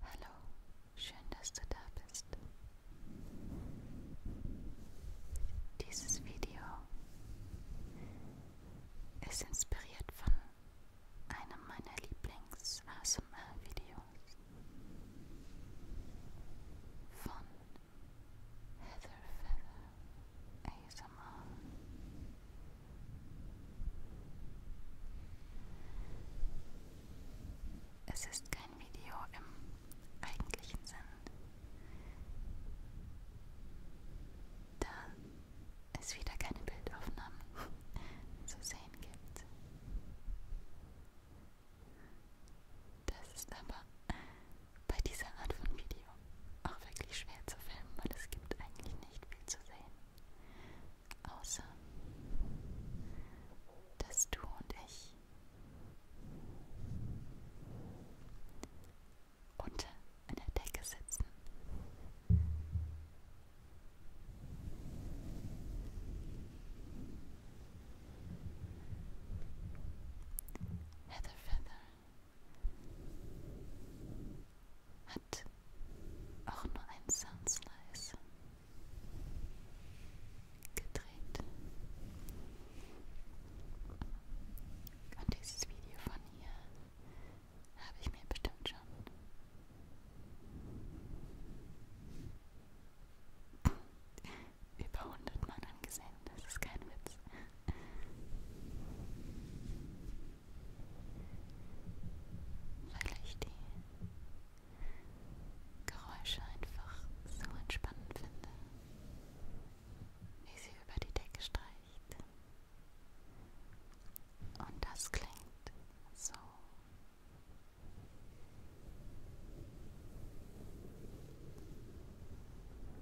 Hallo, schön, dass du da bist. Dieses Video ist inspiriert von einem meiner Lieblings-ASMR-Videos von Heather Feather ASMR. Es ist kein Video im eigentlichen Sinn. Da es wieder keine Bildaufnahmen zu sehen gibt. Das ist aber bei dieser Art von Video auch wirklich schwer zu filmen, weil es gibt eigentlich nicht viel zu sehen. Außer, dass du und ich unter einer Decke sitzen. Heather Feather hat auch nur einen Sound Slice gedreht. Und dieses Video von hier habe ich mir bestimmt schon über 100 Mal angesehen. Das ist kein Witz weil ich die Geräusche einfach so entspannend finde, wie sie über die Decke streicht. Und das klingt so.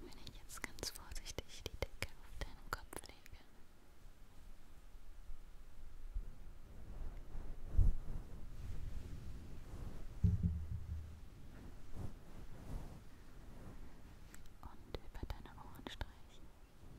Wenn ich jetzt ganz vorsichtig die Decke auf deinen Kopf lege. Und über deine Ohren streichen. Und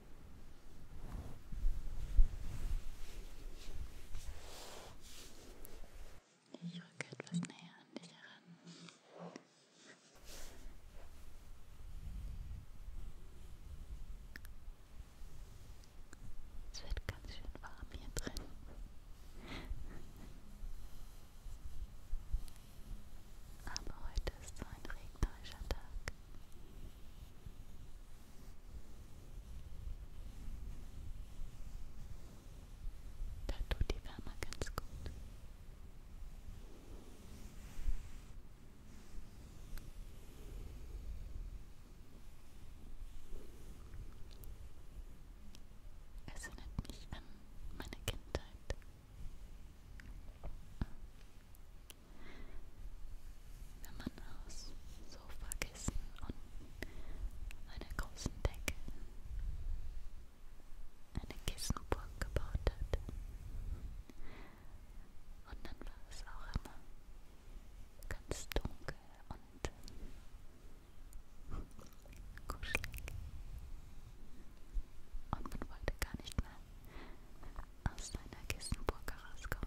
Ich rücke etwas näher an dich heran. Es wird ganz schön warm hier drin. Aber heute ist so ein regnerischer Tag. Da tut die Wärme ganz gut. Es erinnert mich an meine Kindheit. Wenn man aus Sofakissen und einer großen Decke eine Kissenburg gebaut hat. Und dann war es auch immer ganz dunkel und kuschelig. Und man wollte gar nicht mehr aus seiner Kissenburg herauskommen.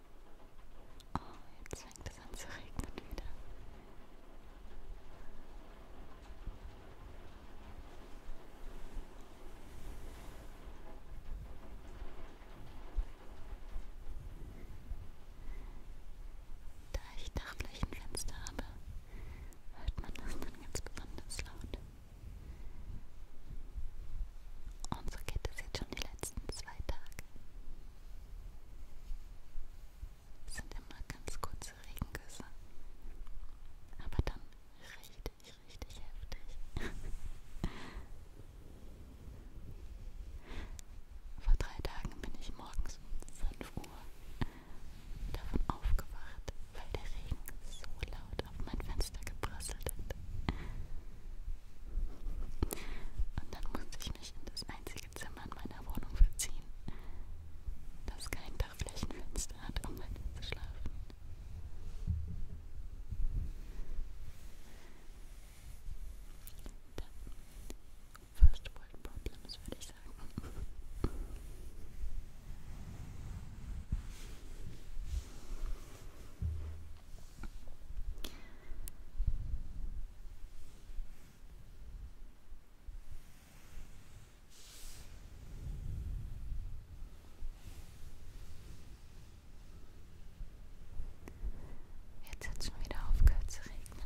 Oh, jetzt fängt es an zu regnen wieder. Da ich Dachflächenfenster habe, hört man das dann ganz besonders laut. Unsere Kette ist jetzt schon die letzten zwei zwei Tage. Es sind immer ganz kurze Regengüsse, aber dann richtig, richtig heftig. Vor drei Tagen bin ich morgens um 5 Uhr davon aufgewacht, weil der Regen so laut auf mein Fenster geprasselt hat. Und dann musste ich mich in das einzige Zimmer in meiner Wohnung verziehen, das kein Dachflächenfenster hat, um weiter zu schlafen. Dann First World Problems, würde ich sagen. Jetzt hat es schon wieder aufgehört zu regnen.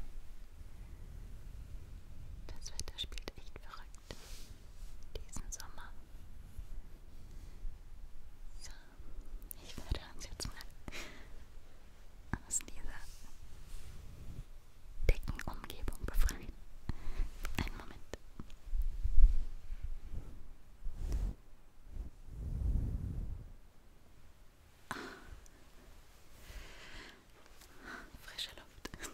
Das Wetter spielt echt verrückt diesen Sommer. So, ich werde uns jetzt mal aus dieser dicken Umgebung befreien. Einen Moment. Ah. Frische Luft.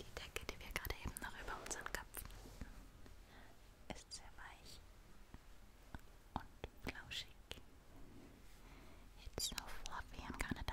Die Decke, die wir gerade eben noch über unseren Köpfen hatten, ist sehr weich und flauschig. It's so fluffy, I'm gonna die.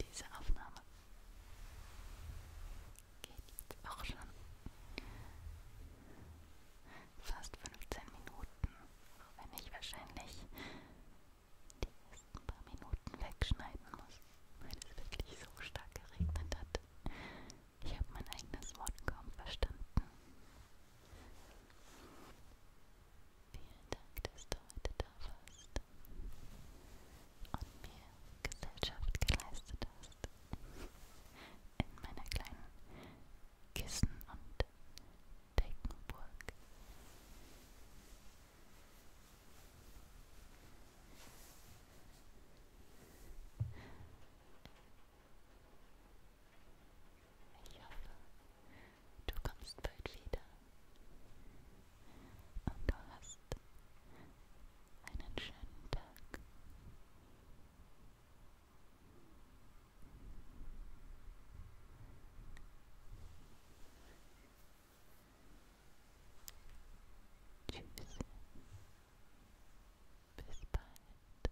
Diese Aufnahme geht auch schon fast 15 Minuten, wenn ich wahrscheinlich die ersten paar Minuten wegschneiden muss, weil es wirklich so stark geregnet hat. Ich habe mein eigenes Wort kaum verstanden. Vielen Dank, dass bedeutet hast und mir Gesellschaft geleistet hast in meiner kleinen Kissen- und Deckenburg. Ich hoffe, Du kommst bald wieder. Und du hast einen schönen Tag. Tschüss. Bis bald.